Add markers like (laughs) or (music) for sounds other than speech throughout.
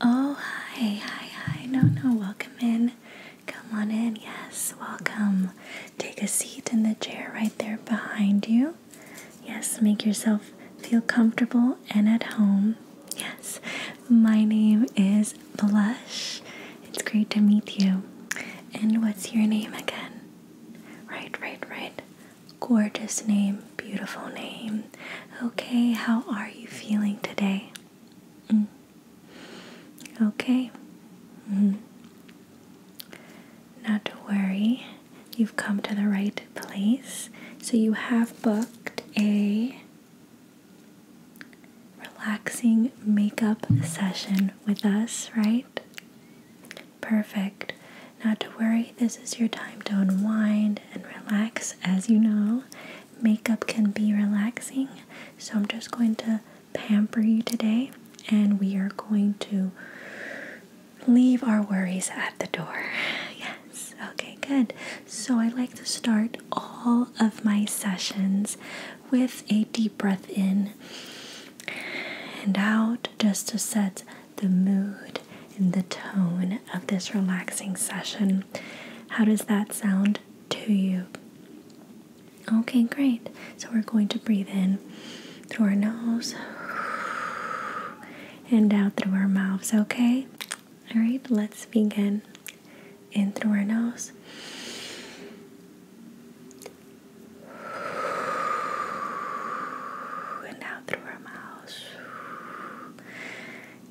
Oh, hi, hi, hi. No, no, welcome in. Come on in. Yes, welcome. Take a seat in the chair right there behind you. Yes, make yourself feel comfortable and at home. Yes, my name is Blush. It's great to meet you. And what's your name again? Right, right, right. Gorgeous name, beautiful name. Okay, how are you feeling today? Mm. Okay. Mm-hmm. Not to worry, you've come to the right place. So you have booked a relaxing makeup session with us, right? Perfect. Not to worry, this is your time to unwind and relax. As you know, makeup can be relaxing, so I'm just going to pamper you today and we are going to leave our worries at the door. (laughs) Yes, okay, good. So I like to start all of my sessions with a deep breath in and out just to set the mood and the tone of this relaxing session. How does that sound to you? Okay, great. So we're going to breathe in through our nose and out through our mouths, okay? All right, let's begin in through our nose. And out through our mouths.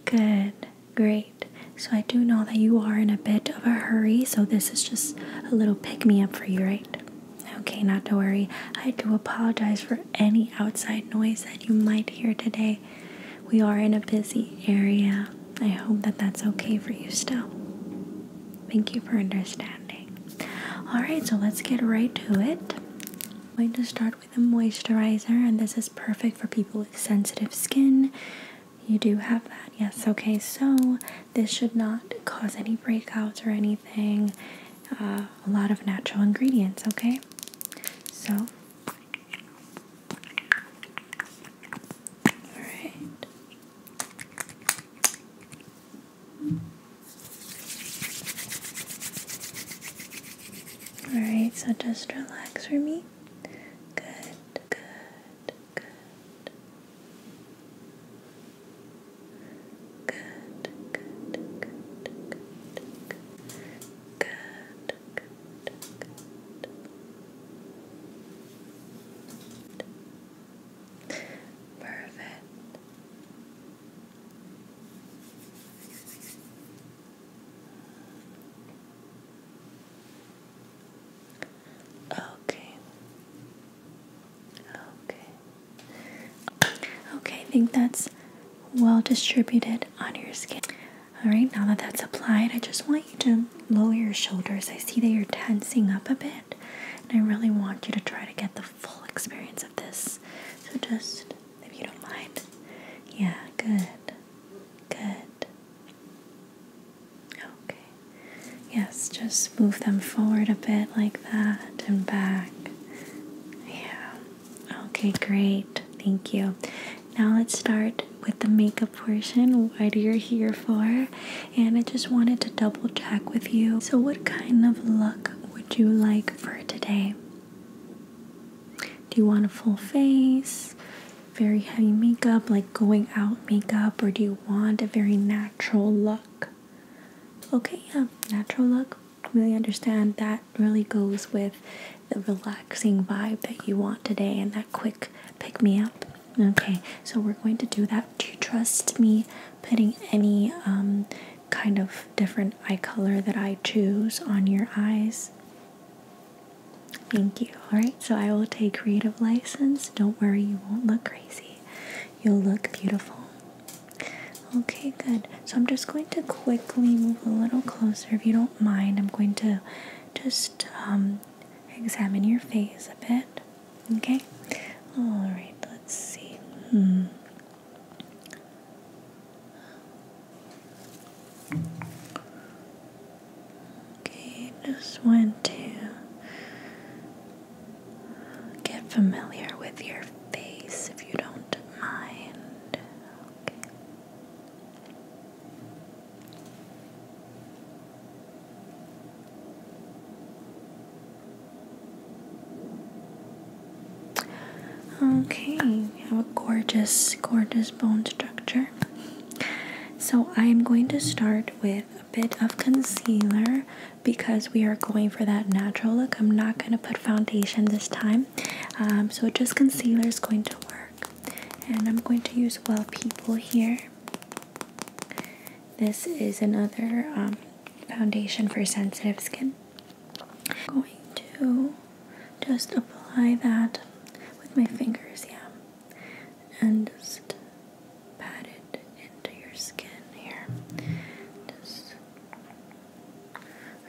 Good, great. So, I do know that you are in a bit of a hurry, so this is just a little pick me up for you, right? Okay, not to worry. I do apologize for any outside noise that you might hear today. We are in a busy area. I hope that that's okay for you still. Thank you for understanding. Alright, so let's get right to it. I'm going to start with a moisturizer, and this is perfect for people with sensitive skin. You do have that, yes. Okay, so this should not cause any breakouts or anything. Uh, a lot of natural ingredients, okay? So all right. All right, so just relax for me. Good, good, good. Good, good, good, good, good, Perfect. Okay. Okay. Okay, I think that's well distributed on your skin. All right, now that that's applied, I just want to lower your shoulders. I see that you're tensing up a bit, and I really want you to try to get the full experience of this. So, just if you don't mind, yeah, good, good. Okay, yes, just move them forward a bit like that and back. Yeah, okay, great, thank you. Now, let's start with the makeup portion, what you're here for, and I just wanted to double check with you. So, what kind of look would you like for today? Do you want a full face, very heavy makeup, like going out makeup, or do you want a very natural look? Okay, yeah, natural look. Really understand that really goes with the relaxing vibe that you want today and that quick pick me up. Okay, so we're going to do that. Do you trust me putting any um, kind of different eye color that I choose on your eyes? Thank you. Alright, so I will take creative license. Don't worry, you won't look crazy. You'll look beautiful. Okay, good. So I'm just going to quickly move a little closer if you don't mind. I'm going to just um, examine your face a bit. Okay? Alright, let's see. Hmm. Okay, just want to get familiar with your face if you don't mind. Okay, you have a gorgeous, gorgeous bone structure. So, I am going to start with a bit of concealer because we are going for that natural look. I'm not going to put foundation this time. Um, so, just concealer is going to work. And I'm going to use Well People here. This is another um, foundation for sensitive skin. I'm going to just apply that with my fingers, yeah, and just pat it into your skin here. Just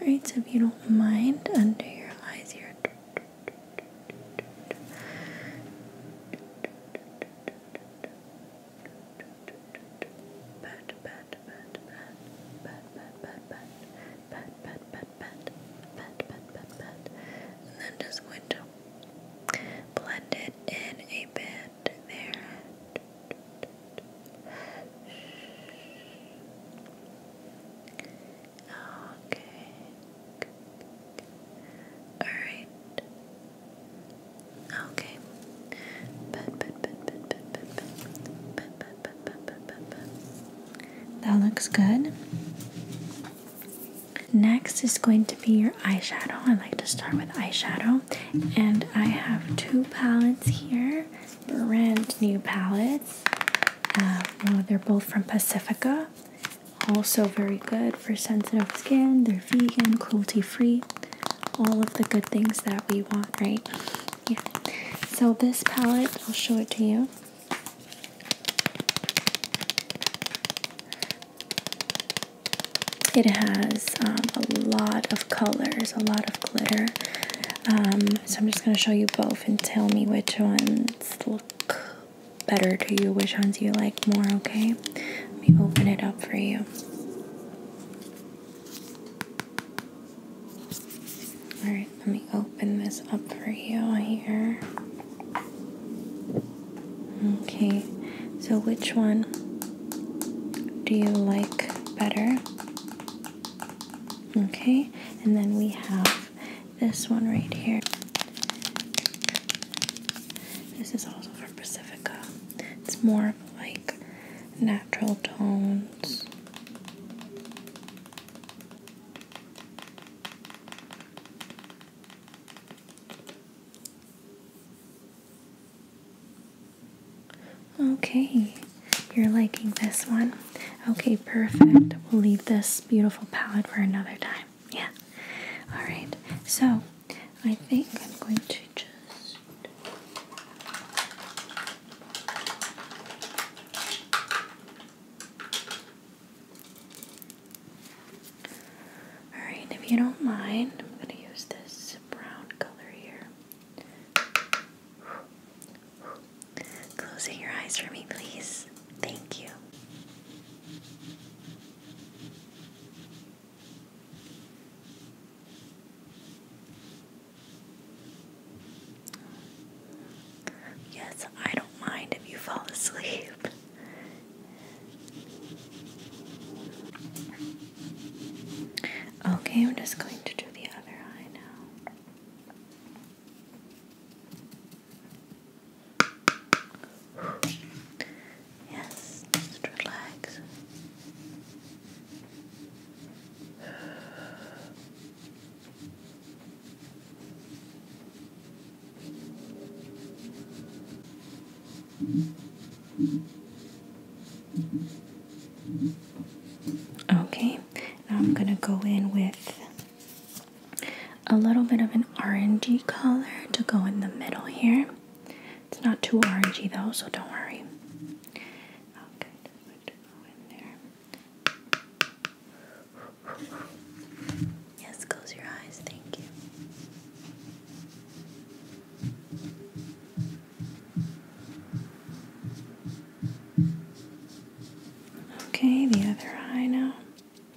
Alright, so if you don't mind, under your eyes here. Pat, pat, and then just going to blend it in a bit there. Okay. Alright. Okay. That looks good. Next is going to be your eyeshadow. I like to start with eyeshadow. And I have two palettes here, brand new palettes. Uh, they're both from Pacifica. Also, very good for sensitive skin. They're vegan, cruelty free, all of the good things that we want, right? Yeah. So, this palette, I'll show it to you. It has um, a lot of colors, a lot of glitter. Um, so I'm just going to show you both and tell me which ones look better to you, which ones you like more, okay? Let me open it up for you. Alright, let me open this up for you here. Okay, so which one do you like better? Okay, and then we have this one right here. This is also from Pacifica. It's more of like natural tones. Okay, you're liking this one. Okay, perfect. We'll leave this beautiful palette for another time. Yeah. Alright, so I think I'm going to just. Alright, if you don't mind, I'm going to use this brown color here. Closing your eyes for me, please. Thank you. Yes, I don't mind if you fall asleep. Okay, I'm just going to do the other eye now. Yes, just relax. Okay, now I'm going to go in with a little bit of an orangey color to go in the middle here. It's not too orangey though, so don't worry. Yes, close your eyes, thank you. Okay, the other eye now.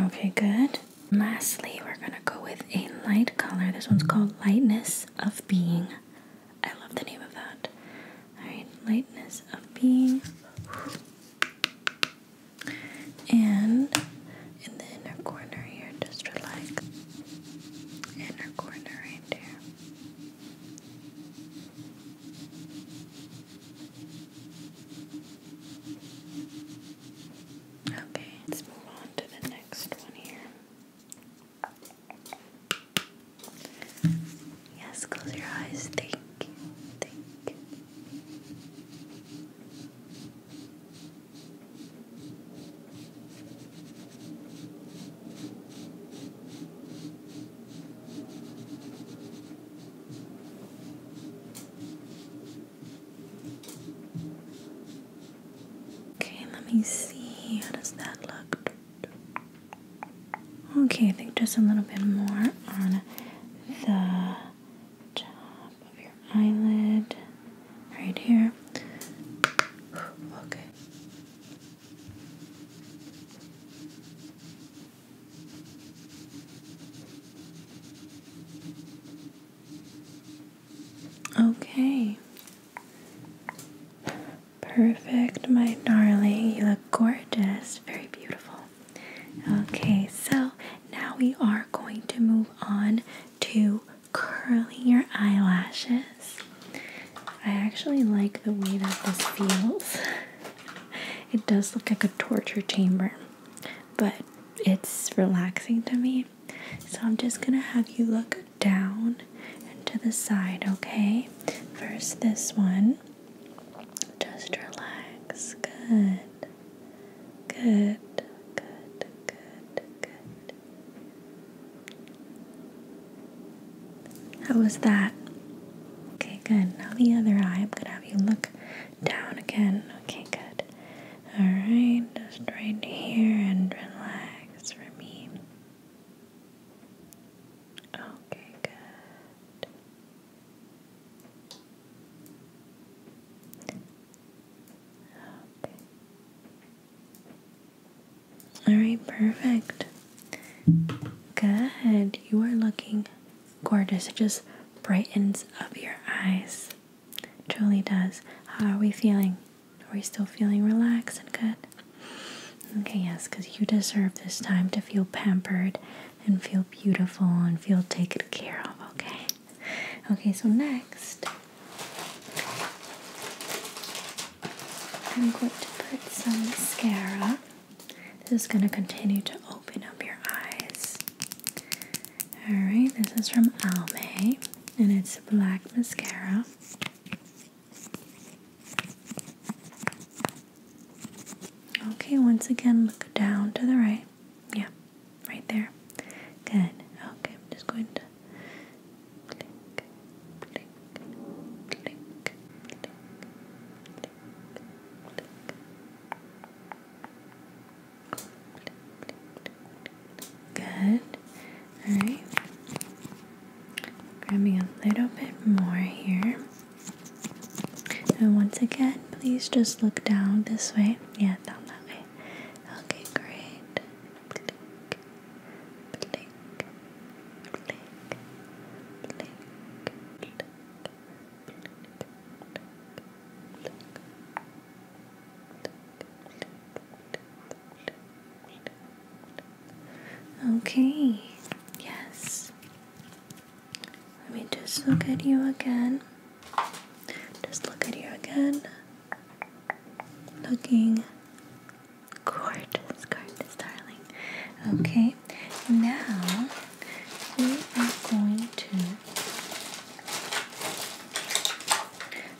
Okay, good. Lastly, we're gonna go with a light color. This one's called Lightness of Being. I love the name of that. Alright, Lightness of Being. And in the inner corner here, just for like inner corner right there. Okay, let's move on to the next one here. Yes, close your eyes. Think, think. Okay, let me see. How does that look? Okay, I think just a little bit more on the top of your eyelid right here. Okay. Okay. Perfect, my darling. You look gorgeous. Very beautiful. Okay, so now we are going to move on to curling your eyelashes. I actually like the way that this feels. (laughs) it does look like a torture chamber, but it's relaxing to me. So I'm just gonna have you look down and to the side, okay? First, this one. Just relax. Good. Good. Good. Good. Good. How was that? Okay, good. Now the other eye. I'm gonna have you look down again. Okay, good. Alright, just right here and relax for me. Okay, good. Okay. All right, perfect. Good. You are looking gorgeous. It just brightens up your eyes. It truly does. How are we feeling? Are we still feeling relaxed and good? Okay, yes, because you deserve this time to feel pampered and feel beautiful and feel taken care of, okay? Okay, so next, I'm going to put some mascara this is going to continue to open up your eyes. Alright, this is from Almay and it's black mascara. Okay, once again, look down to the right. Yeah, right there. Good. Okay, I'm just going to blink, blink, Good. Alright. Grabbing a little bit more here. And once again, please just look down this way. Yeah, down that way. Okay, great. Okay, yes. Let me just look at you again. Just look at you again. Looking gorgeous, gorgeous, darling. Okay, now we are going to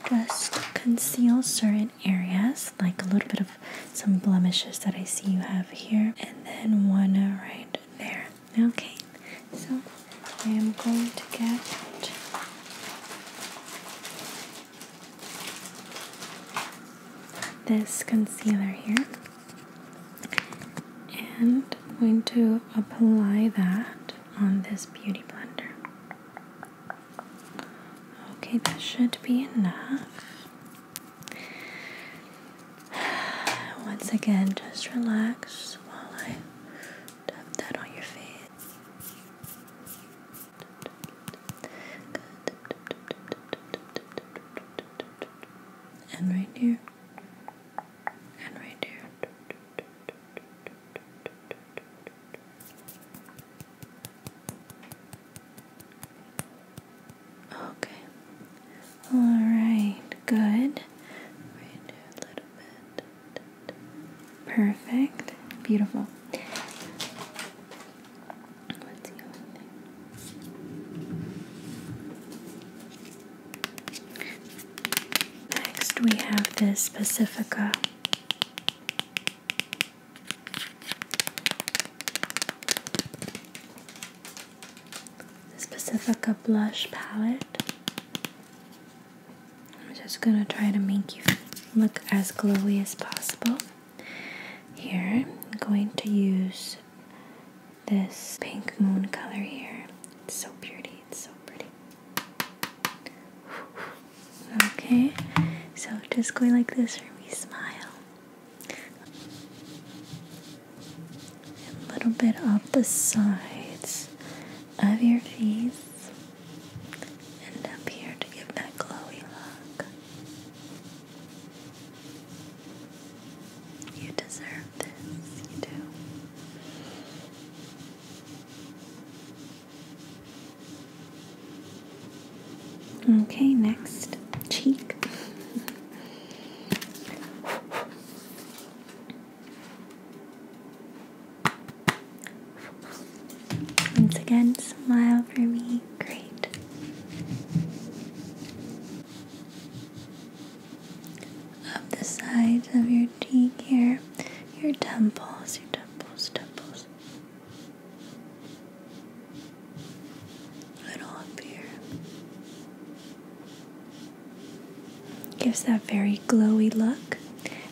just conceal certain areas, like a little bit of some blemishes that I see you have here, and then one right there. Okay, so I am going to get. This concealer here. And I'm going to apply that on this beauty blender. Okay, that should be enough. (sighs) Once again, just relax while I dab that on your face. Good and right here, and right here. Okay. All right. Good. Right here a little bit. Perfect. Beautiful. Next, we have this Pacifica. This Pacifica blush palette. I'm just gonna try to make you look as glowy as possible. Here, I'm going to use this pink moon color here. It's so pretty, it's so pretty. Okay, so just going like this where we smile. A little bit up the sides of your face and up here to give that glowy look. You deserve this, you do. Okay, next cheek. (laughs) Once again, smile for me great. Up the sides of your cheek here, your temples, your temples, temples. Little up here. Gives that very glowy look.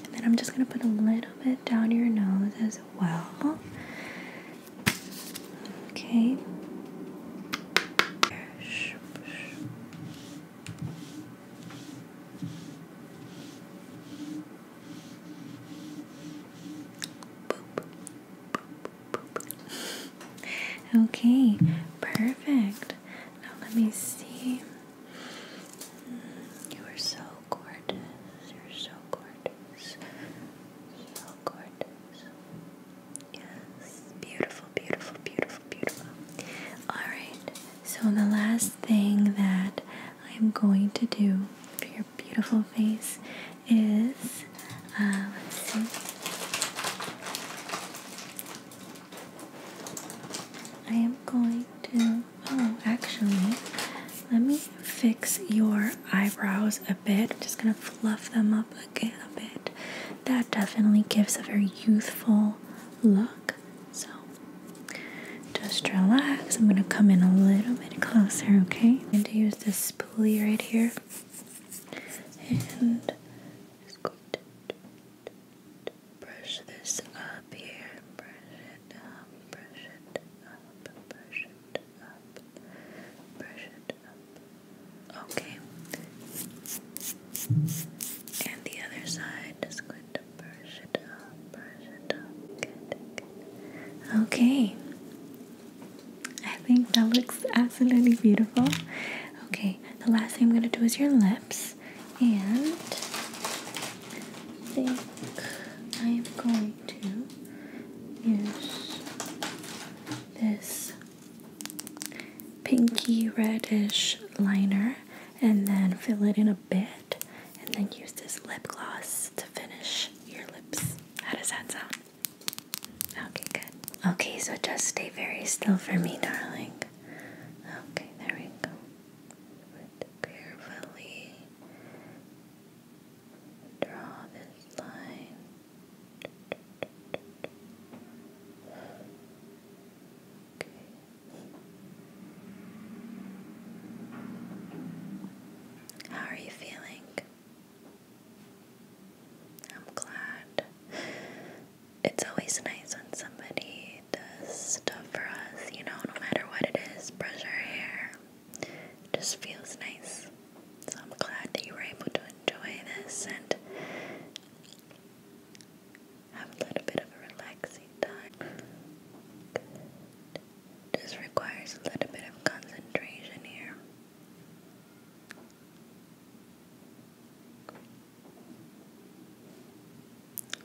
And then I'm just going to put a little bit down your nose as well. Okay. Okay, perfect. Now let me see. Mm, you are so gorgeous. You're so gorgeous beautiful Yes, beautiful, beautiful, beautiful, beautiful. Alright, so the last thing that I'm going to do for your beautiful face is uh, let's see. I am going to. Oh, actually, let me fix your eyebrows a bit. I'm just gonna fluff them up again a bit. That definitely gives a very youthful look. So just relax. I'm gonna come in a little bit closer, okay? I'm going to use this spoolie right here. And just going to brush this up here. Brush it up, brush it up, brush it up, brush it up. Okay. And the other side, just going to brush it up, brush it up. Okay. I think that looks absolutely beautiful. Okay, the last thing I'm going to do is your lips. And I think I am going to Use this pinky reddish liner and then fill it in a bit and then use this lip gloss to finish your lips. How does that sound? Okay, good. Okay, so just stay very still for me, darling. Okay, there we go. Carefully draw this line. Okay. How are you feeling? I'm glad. It's always nice when somebody does stuff for us, you know, no matter what it is. Brush our hair, just feels nice. So I'm glad that you were able to enjoy this and have a little bit of a relaxing time. Just requires a little bit of concentration here.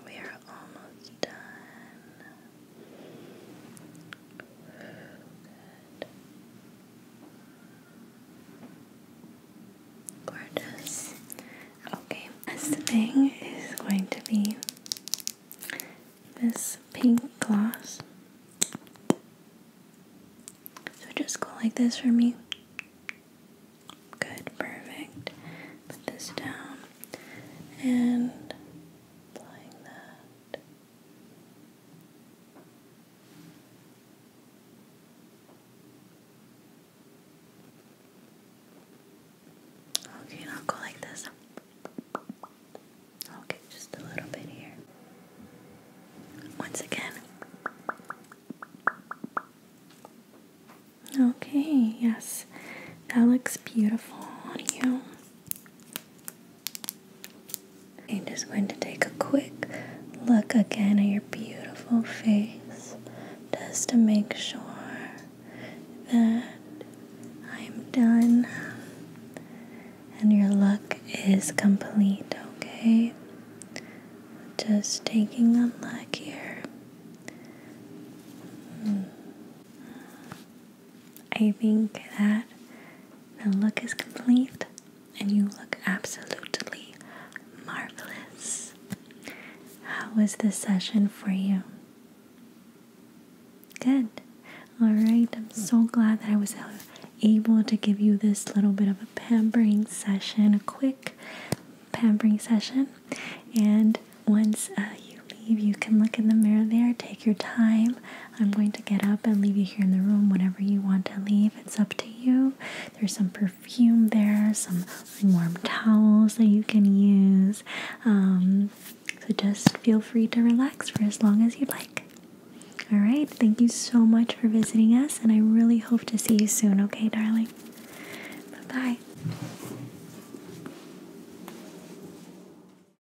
We are almost done. Gorgeous. Okay, this thing is going to be this pink gloss. So just go like this for me. Good, perfect. Put this down and applying that. Okay, now go like this. Okay, just a little bit here. Once again. Okay, yes, that looks beautiful on you. I'm just going to take a quick look again at your beautiful face just to make sure that I'm done and your look is complete, okay? Just taking a look here. Hmm. I think that the look is complete and you look absolutely marvelous. How was the session for you? Good. All right, I'm so glad that I was able to give you this little bit of a pampering session, a quick pampering session. And once uh, you leave, you can look in the mirror there, take your time, I'm going to get up and leave you here in the room whenever you want to leave. It's up to you. There's some perfume there, some warm towels that you can use. Um, so just feel free to relax for as long as you'd like. All right, thank you so much for visiting us, and I really hope to see you soon, okay, darling? Bye bye.